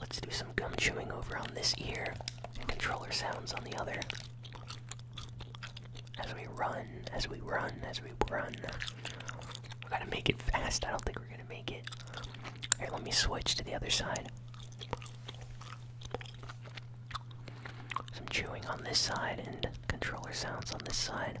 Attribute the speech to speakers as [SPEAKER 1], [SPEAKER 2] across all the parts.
[SPEAKER 1] Let's do some gum chewing over on this ear and controller sounds on the other. As we run, as we run, as we run. We gotta make it fast. I don't think we're gonna make it. let me switch to the other side. Some chewing on this side and controller sounds on this side.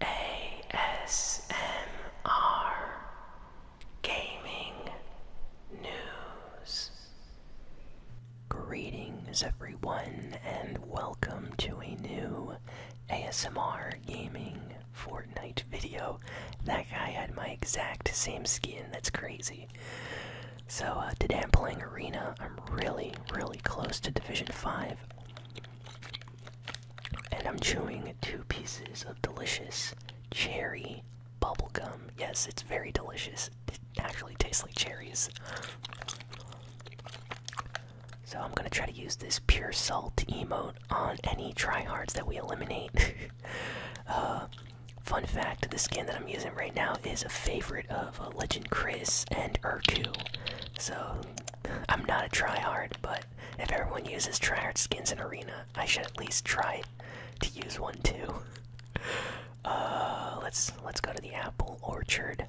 [SPEAKER 1] ASMR Gaming News. Greetings, everyone, and welcome to a new ASMR Gaming Fortnite video. That guy had my exact same skin, that's crazy. So, uh, today I'm playing Arena. I'm really, really close to Division 5. And I'm chewing two pieces of delicious cherry bubblegum. Yes, it's very delicious. It actually tastes like cherries. So I'm gonna try to use this pure salt emote on any tryhards that we eliminate. Uh, fun fact, the skin that I'm using right now is a favorite of uh, Legend Chris and Urku. So I'm not a tryhard, but if everyone uses tryhard skins in Arena, I should at least try to use one too. Uh, let's let's go to the apple orchard.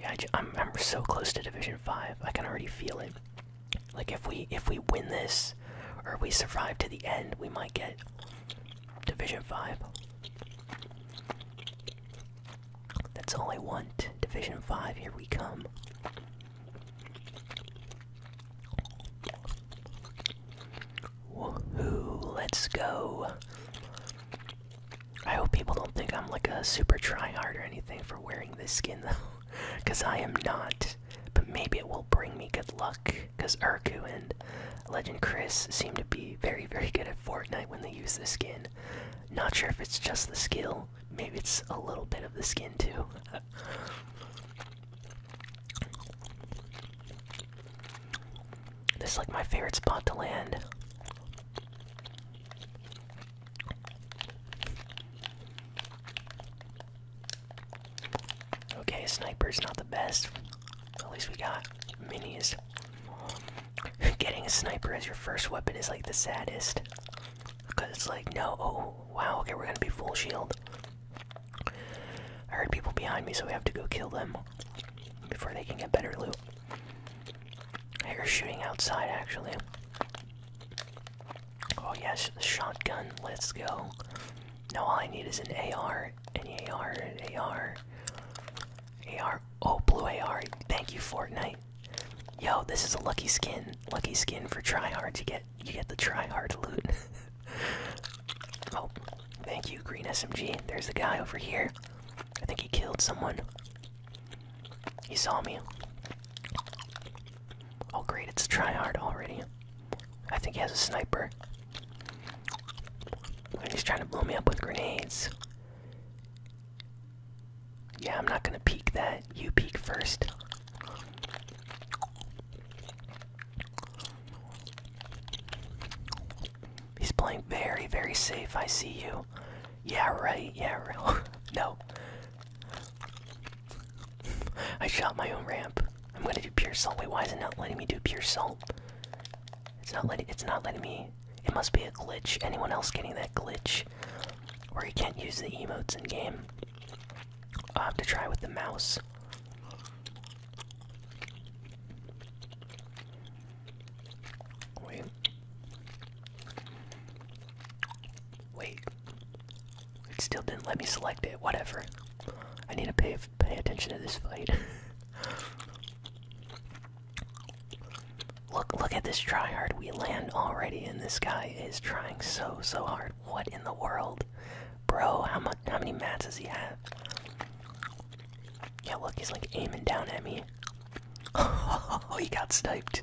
[SPEAKER 1] Yeah, I am I'm, I'm so close to Division Five. I can already feel it. Like if we if we win this, or we survive to the end, we might get Division 5. That's all I want. Division 5, here we come. let's go. I hope people don't think I'm like a super hard or anything for wearing this skin though. Because I am not. But maybe it will bring me good luck. Because Urku and Legend. Chris seemed to be very, very good at Fortnite when they used the skin. Not sure if it's just the skill, maybe it's a little bit of the skin too. this is like my favorite spot to land. Okay, sniper's not the best. At least we got minis. Getting a sniper as your first weapon is like the saddest. Because it's like, no, oh, wow, okay, we're gonna be full shield. I heard people behind me, so we have to go kill them before they can get better loot. I are shooting outside, actually. Oh, yes, shotgun, let's go. Now all I need is an AR, an AR, an AR. AR. Oh, blue AR. Thank you, Fortnite. Yo, this is a lucky skin. Lucky skin for tryhards. to get you get the tryhard loot. oh, thank you, green SMG. There's the guy over here. I think he killed someone. He saw me. Oh great, it's a tryhard already. I think he has a sniper. He's trying to blow me up with grenades. Yeah, I'm not gonna peek that. You peek first. He's playing very, very safe. I see you. Yeah, right. Yeah, real. no. I shot my own ramp. I'm gonna do pure salt. Wait, why isn't it letting me do pure salt? It's not letting. It's not letting me. It must be a glitch. Anyone else getting that glitch? Where you can't use the emotes in game. I'll have to try with the mouse. Wait. Wait. It still didn't let me select it. Whatever. I need to pay pay attention to this fight. Look, look at this try hard. We land already, and this guy is trying so, so hard. What in the world, bro? How much? How many mats does he have? Yeah, look, he's like aiming down at me. Oh, he got sniped.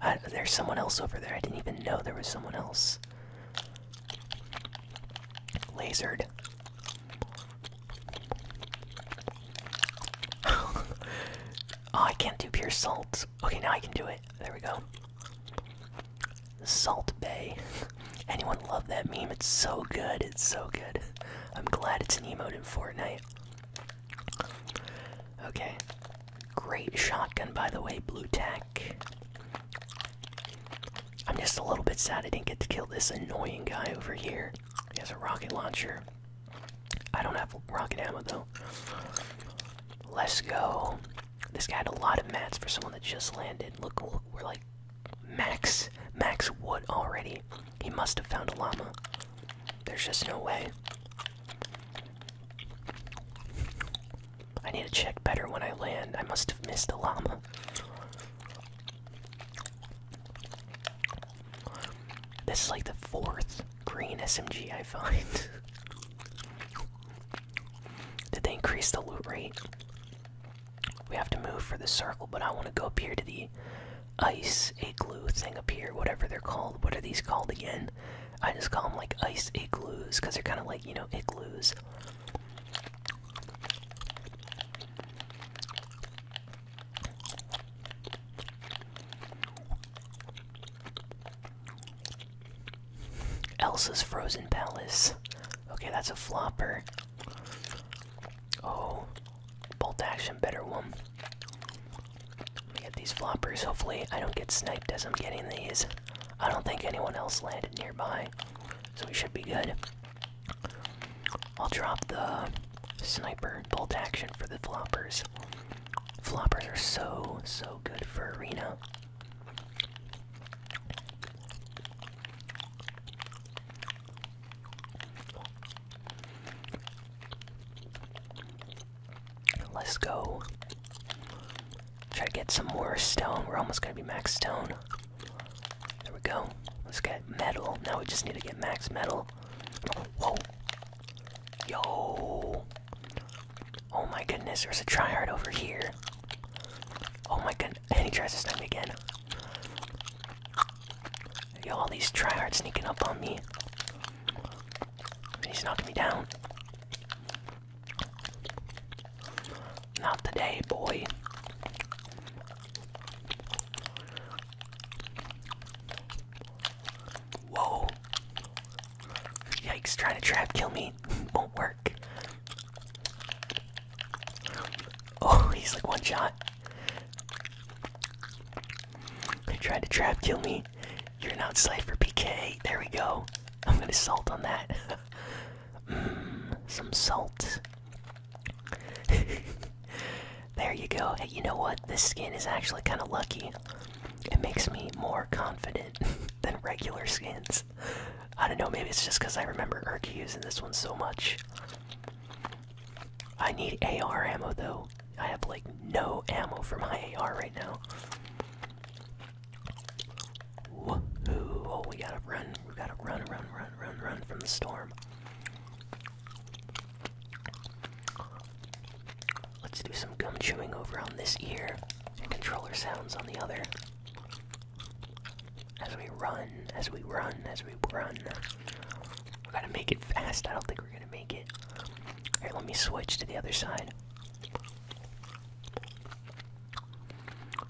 [SPEAKER 1] Uh, there's someone else over there. I didn't even know there was someone else. Lasered. Oh, I can't do pure salt. Okay, now I can do it. There we go. Salt Bay. Anyone love that meme? It's so good. It's so good. I'm glad it's an emote in Fortnite. Okay. Great shotgun, by the way, Blue Tack. I'm just a little bit sad I didn't get to kill this annoying guy over here. He has a rocket launcher. I don't have rocket ammo though. Let's go. This guy had a lot of mats for someone that just landed. Look, look we're like max, max wood already. He must have found a llama. There's just no way. I need to check better when I land. I must have missed a llama. This is like the fourth green SMG I find. Did they increase the loot rate? We have to move for the circle, but I want to go up here to the ice igloo thing up here, whatever they're called. What are these called again? I just call them like ice igloos because they're kind of like, you know, igloos. Elsa's Frozen Palace. Okay, that's a flopper. Oh, bolt action, better one. Let me get these floppers. Hopefully, I don't get sniped as I'm getting these. I don't think anyone else landed nearby, so we should be good. I'll drop the sniper bolt action for the floppers. Floppers are so, so good for arena. Let's go. Try to get some more stone. We're almost gonna be max stone. There we go. Let's get metal. Now we just need to get max metal. Whoa. Yo. Oh my goodness, there's a tryhard over here. Oh my goodness. And he tries to snipe me again. Yo, all these tryhards sneaking up on me. He's knocking me down. Not today, boy. Whoa! Yikes, trying to trap kill me won't work. Oh, he's like one shot. They tried to trap kill me. You're an safe for PK. There we go. I'm gonna salt on that. Mmm, some salt. there you go. Hey, you know what? This skin is actually kind of lucky. It makes me more confident than regular skins. I don't know, maybe it's just because I remember Erky using this one so much. I need AR ammo though. I have like no ammo for my AR right now. Oh, we gotta run. We gotta run, run, run, run, run from the storm. Let's do some gum chewing over on this ear controller sounds on the other. As we run, as we run, as we run. We gotta make it fast. I don't think we're gonna make it. Here, let me switch to the other side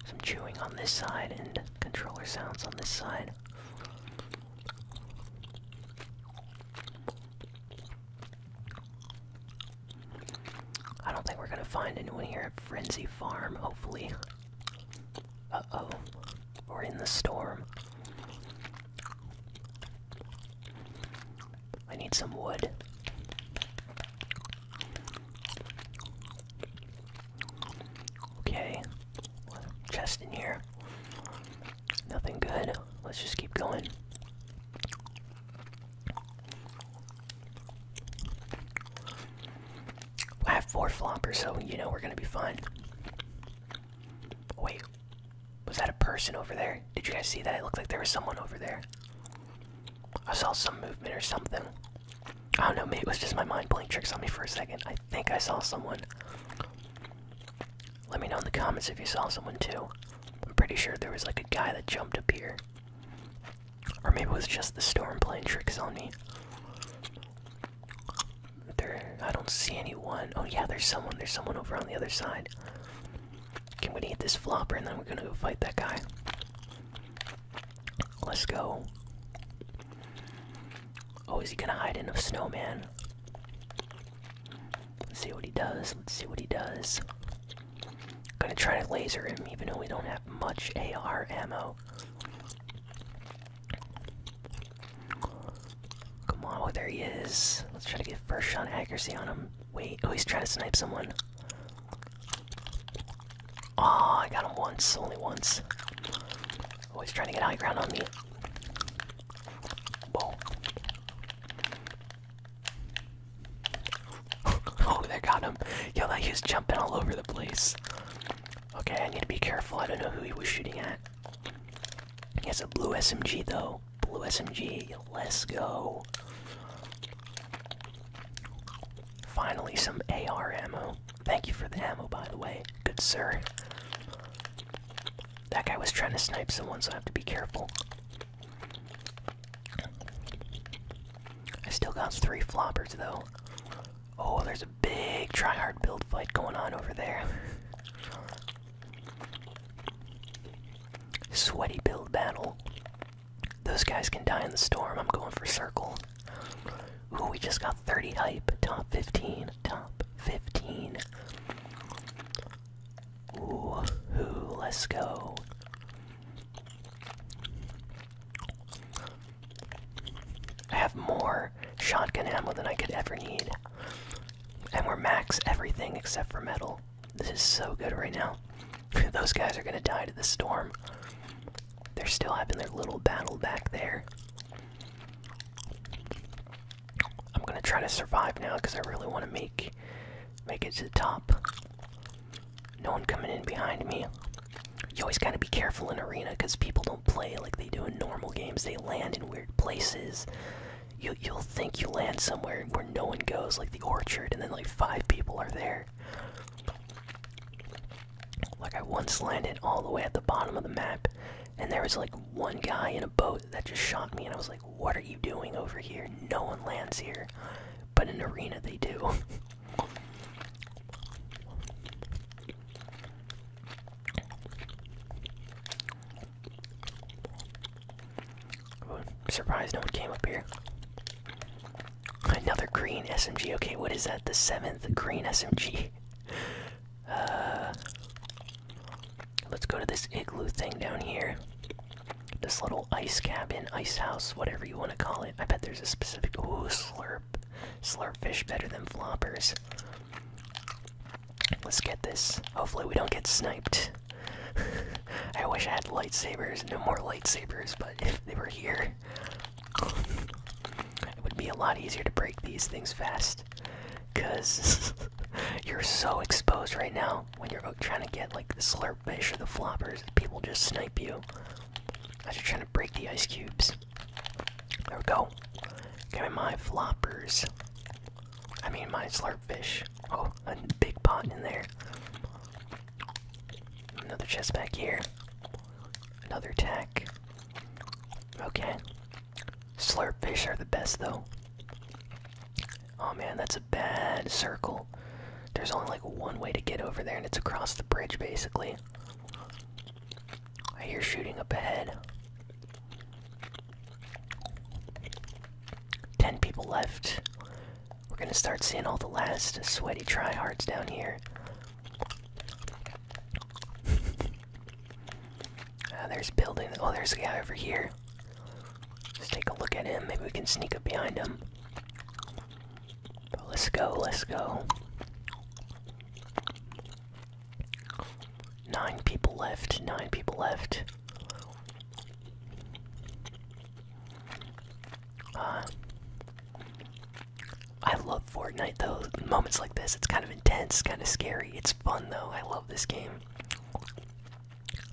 [SPEAKER 1] some chewing on this side and controller sounds on this side. I don't think we're gonna find anyone here at Frenzy Farm, hopefully. Uh oh. We're in the storm. I need some wood. Okay. Chest in here. Nothing good. Let's just keep going. I have four floppers, so you know we're gonna be fine. Wait, was that a person over there? Did you guys see that? It looked like there was someone over there. I saw some movement or something. I oh, don't know, maybe it was just my mind playing tricks on me for a second. I think I saw someone. Let me know in the comments if you saw someone too. I'm pretty sure there was like a guy that jumped up here. Or maybe it was just the storm playing tricks on me. There, I don't see anyone. Oh yeah, there's someone. There's someone over on the other side. Can we am eat this flopper and then we're gonna go fight that guy. Let's go. Oh, is he gonna hide in a snowman? Let's see what he does. Let's see what he does. Gonna try to laser him, even though we don't have much AR ammo. Come on, oh, there he is. Let's try to get first shot accuracy on him. Wait, oh, he's trying to snipe someone. Oh, I got him once, only once. Always oh, trying to get high ground on me. Whoa. oh, they got him. Yo, that he's jumping all over the place. Okay, I need to be careful. I don't know who he was shooting at. He has a blue SMG though. Blue SMG. Let's go. Finally, some AR ammo. Thank you for the ammo, by the way. Good sir. That guy was trying to snipe someone, so I have to be careful. I still got three floppers, though. Oh, there's a big tryhard build fight going on over there. Sweaty build battle. Those guys can die in the storm. I'm going for circle. Ooh, we just got 30 hype, top 15, top 15. ooh let's go. I have more shotgun ammo than I could ever need. And we're max everything except for metal. This is so good right now. Those guys are gonna die to the storm. They're still having their little battle back there. I'm gonna try to survive now because I really want to make make it to the top. No one coming in behind me. You always gotta be careful in arena because people don't play like they do in normal games. They land in weird places. You you'll think you land somewhere where no one goes, like the orchard, and then like five people are there. Like, I once landed all the way at the bottom of the map, and there was like one guy in a boat that just shot me, and I was like, What are you doing over here? No one lands here. But in Arena, they do. Surprised no one came up here. Another green SMG. Okay, what is that? The seventh green SMG. Uh, let's go to this igloo thing down here. This little ice cabin, ice house, whatever you want to call it. I bet there's a specific. Ooh, slurp. Slurp fish better than floppers. Let's get this. Hopefully, we don't get sniped. I wish I had lightsabers. No more lightsabers, but if they were here, it would be a lot easier to break these things fast because you're so exposed right now when you're trying to get like the slurp fish or the floppers people just snipe you as you're trying to break the ice cubes there we go give my floppers i mean my slurp fish oh a big pot in there another chest back here Another tech. Okay. Slurp fish are the best though. Oh man, that's a bad circle. There's only like one way to get over there, and it's across the bridge basically. I hear shooting up ahead. 10 people left. We're gonna start seeing all the last sweaty tryhards down here. uh, there's building. Oh, there's a guy over here. Let's take a look at him. Maybe we can sneak up behind him. let's go. Let's go. Nine people left. Nine people left. Uh, I love Fortnite though. Moments like this, it's kind of intense, kind of scary. It's fun though. I love this game.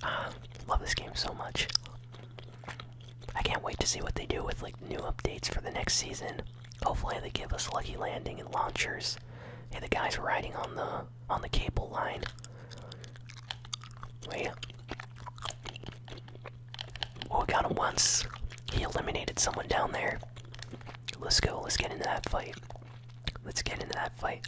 [SPEAKER 1] Ah, love this game so much. I can't wait to see what they do with like new updates for the next season. Hopefully they give us lucky landing and launchers. Hey, the guy's riding on the on the cable line. Wait. Oh, we got him once. He eliminated someone down there. Let's go. Let's get into that fight. Let's get into that fight.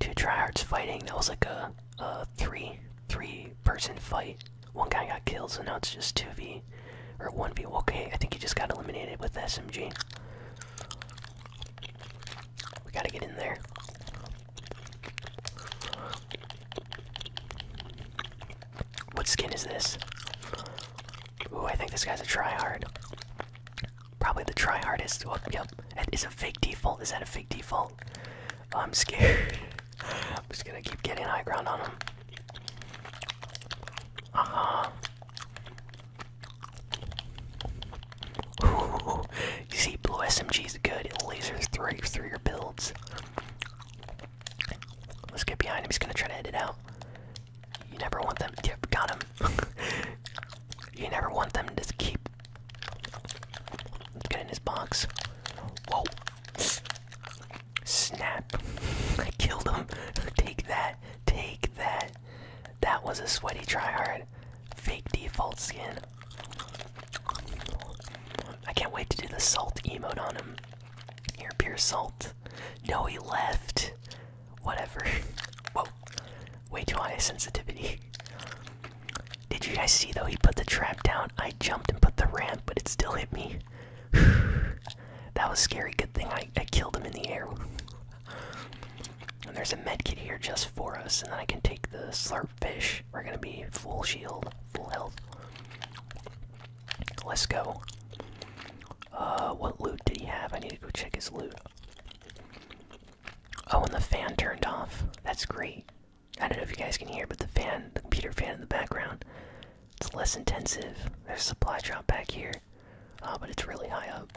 [SPEAKER 1] Two tryhards fighting. That was like a, a three three person fight. One guy got killed, so now it's just two v or one v. Okay, I think he just got eliminated with SMG. We gotta get in there. What skin is this? Ooh, I think this guy's a tryhard. Probably the tryhardest. Oh, yep. That is a fake default. Is that a fake default? I'm scared. I'm just gonna keep getting high ground on him. Uh huh. Ooh, you see, blue SMG's good. It lasers through, through your builds. Let's get behind him. He's gonna try to edit out. You never want them. Yep, got him. you never want them to keep. get in his box. Whoa! Snap! I killed him. Take that. Take that. That was a sweaty tryhard. Fake default skin. I can't wait to do the salt emote on him. Here, pure salt. No, he left. Whatever. Whoa. Way too high a sensitivity. Did you guys see though? He put the trap down. I jumped and put the ramp, but it still hit me. that was scary. Good thing I, I killed him in the air. and there's a medkit here just for us, and then I can take the slurp fish. We're gonna be full shield full health. Let's go. Uh, what loot did he have? I need to go check his loot. Oh, and the fan turned off. That's great. I don't know if you guys can hear, but the fan, the computer fan in the background, it's less intensive. There's supply drop back here, uh, but it's really high up.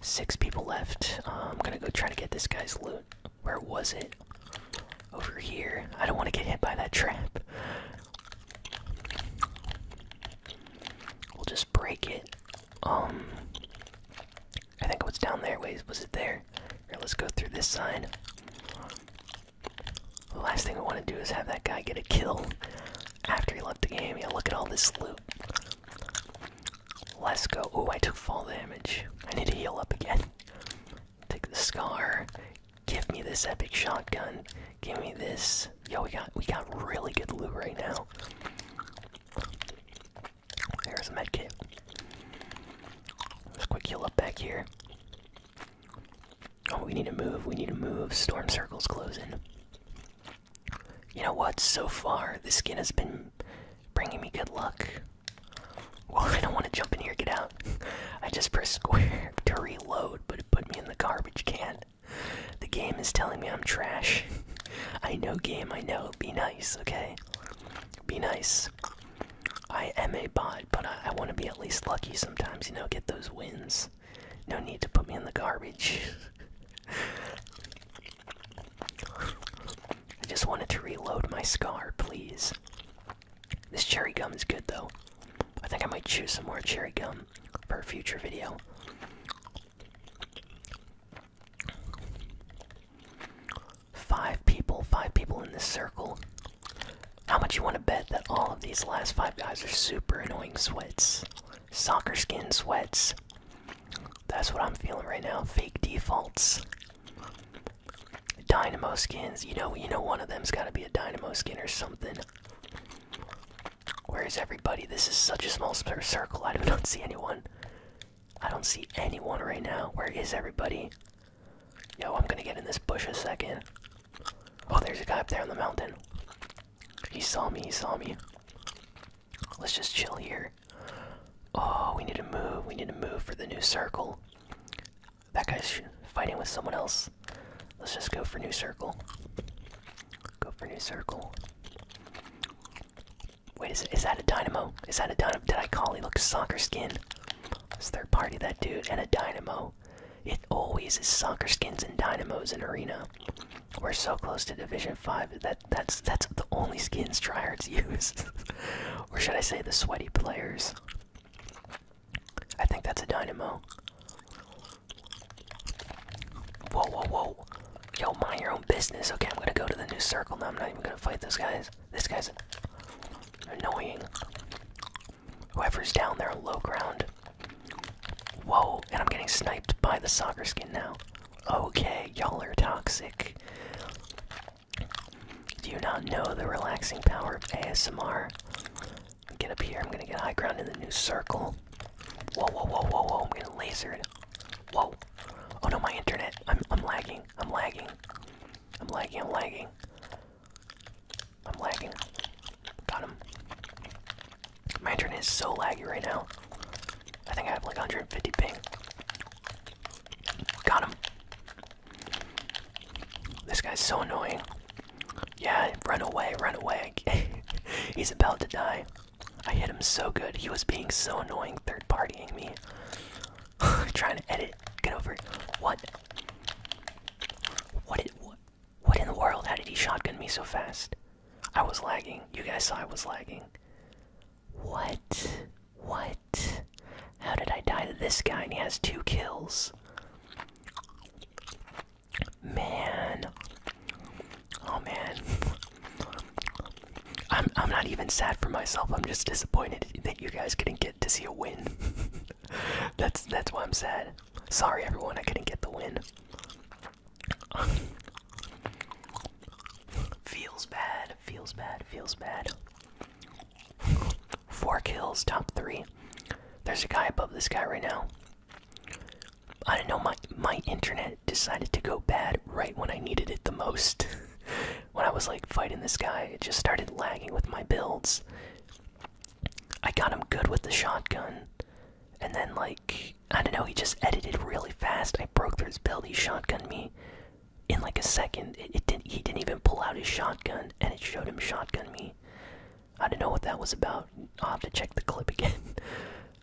[SPEAKER 1] Six people left. Uh, I'm gonna go try to get this guy's loot. Where was it? Over here. I don't want to get hit by that trap. We'll just break it. Um, I think it was down there. Wait, was it there? let's go through this side. The last thing we want to do is have that guy get a kill after he left the game. Yeah, look at all this loot. Let's go. Oh, I took fall damage. I need to heal up again. Take the scar. Give me this epic shotgun. Give me this. Yo, we got we got really good loot right now. There's a medkit. Let's quick heal up back here. Oh, we need to move. We need to move. Storm circle's closing. You know what? So far, this skin has been bringing me good luck. Well, I don't want to jump in here. Get out. I just press square to reload, but it put me in the garbage can. The game is telling me I'm trash. I know, game, I know. Be nice, okay? Be nice. I am a bot, but I want to be at least lucky sometimes, you know, get those wins. No need to put me in the garbage. I just wanted to reload my scar, please. This cherry gum is good though. I think I might choose some more cherry gum for a future video. Five people, five people in this circle. How much you want to bet that all of these last five guys are super annoying sweats? Soccer skin sweats. That's what I'm feeling right now. Fake defaults. Dynamo skins. You know, you know one of them's gotta be a dynamo skin or something. Where is everybody? This is such a small circle. I don't see anyone. I don't see anyone right now. Where is everybody? Yo, I'm gonna get in this bush a second. Oh, there's a guy up there on the mountain. He saw me, he saw me. Let's just chill here. Oh, we need to move. We need to move for the new circle. That guy's fighting with someone else. Let's just go for new circle. Go for new circle. Wait, is, is that a dynamo? Is that a dynamo? Did I call he a soccer skin? It's third party, that dude, and a dynamo. It always is soccer skins and dynamos in arena. We're so close to Division Five. That that's that's the only skins tryhards use. Or should I say the sweaty players? I think that's a dynamo. Whoa, whoa, whoa. Yo, mind your own business. Okay, I'm gonna go to the new circle now. I'm not even gonna fight those guys. This guy's annoying. Whoever's down there on low ground. Whoa, and I'm getting sniped by the soccer skin now. Okay, y'all are toxic. Do you not know the relaxing power of ASMR? Get up here, I'm gonna get high ground in the new circle. Whoa, whoa, whoa, whoa, whoa, I'm getting lasered. Whoa. Oh no, my internet. I'm, I'm lagging, I'm lagging. I'm lagging, I'm lagging. I'm lagging. Got him. My internet is so laggy right now. I think I have like 150 ping. Got him. This guy's so annoying. Yeah, run away, run away. He's about to die. I hit him so good. He was being so annoying, third partying me. Trying to edit. Get over it. What? What what? What in the world? How did he shotgun me so fast? I was lagging. You guys saw I was lagging. What? What? How did I die to this guy and he has two kills? Man. Oh man. I'm I'm not even sad for myself. I'm just disappointed that you guys couldn't get to see a win. that's that's why I'm sad. Sorry everyone, I couldn't get the win. Feels bad, feels bad, feels bad. Four kills, top three. There's a guy above this guy right now. I don't know, my, my internet decided to go bad right when I needed it the most. when I was like fighting this guy, it just started lagging with my builds. I got him good with the shotgun, and then like, I don't know, he just edited really fast. I broke through his build, he shotgunned me, in like a second. It, didn't. He didn't even pull out his shotgun, and it showed him shotgun me. I don't know what that was about. I'll have to check the clip again.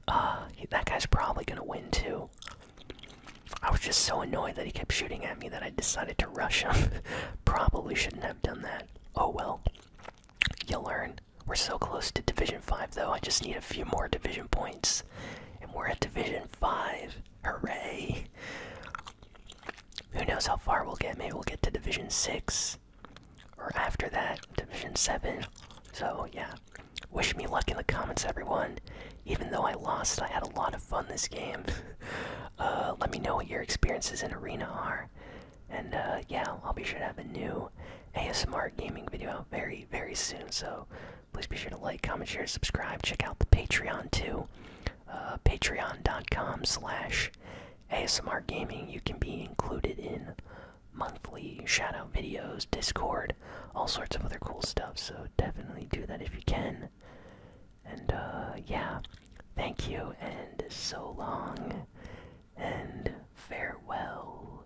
[SPEAKER 1] Uh, that guy's probably gonna win too. I was just so annoyed that he kept shooting at me that I decided to rush him. probably shouldn't have done that. Oh well. You learn. We're so close to Division 5 though, I just need a few more Division points. And we're at Division 5. Hooray! Who knows how far we'll get? Maybe we'll get to Division 6 or after that, Division 7. So, yeah. Wish me luck in the comments, everyone. Even though I lost, I had a lot of fun this game. Uh, let me know what your experiences in Arena are. And uh, yeah, I'll be sure to have a new ASMR gaming video out very, very soon. So Please be sure to like, comment, share, subscribe. Check out the Patreon too. Uh, patreon.com slash ASMR Gaming. You can be included in monthly shoutout videos, Discord, all sorts of other cool stuff. So definitely do that if you can. And uh, yeah, thank you and so long and farewell.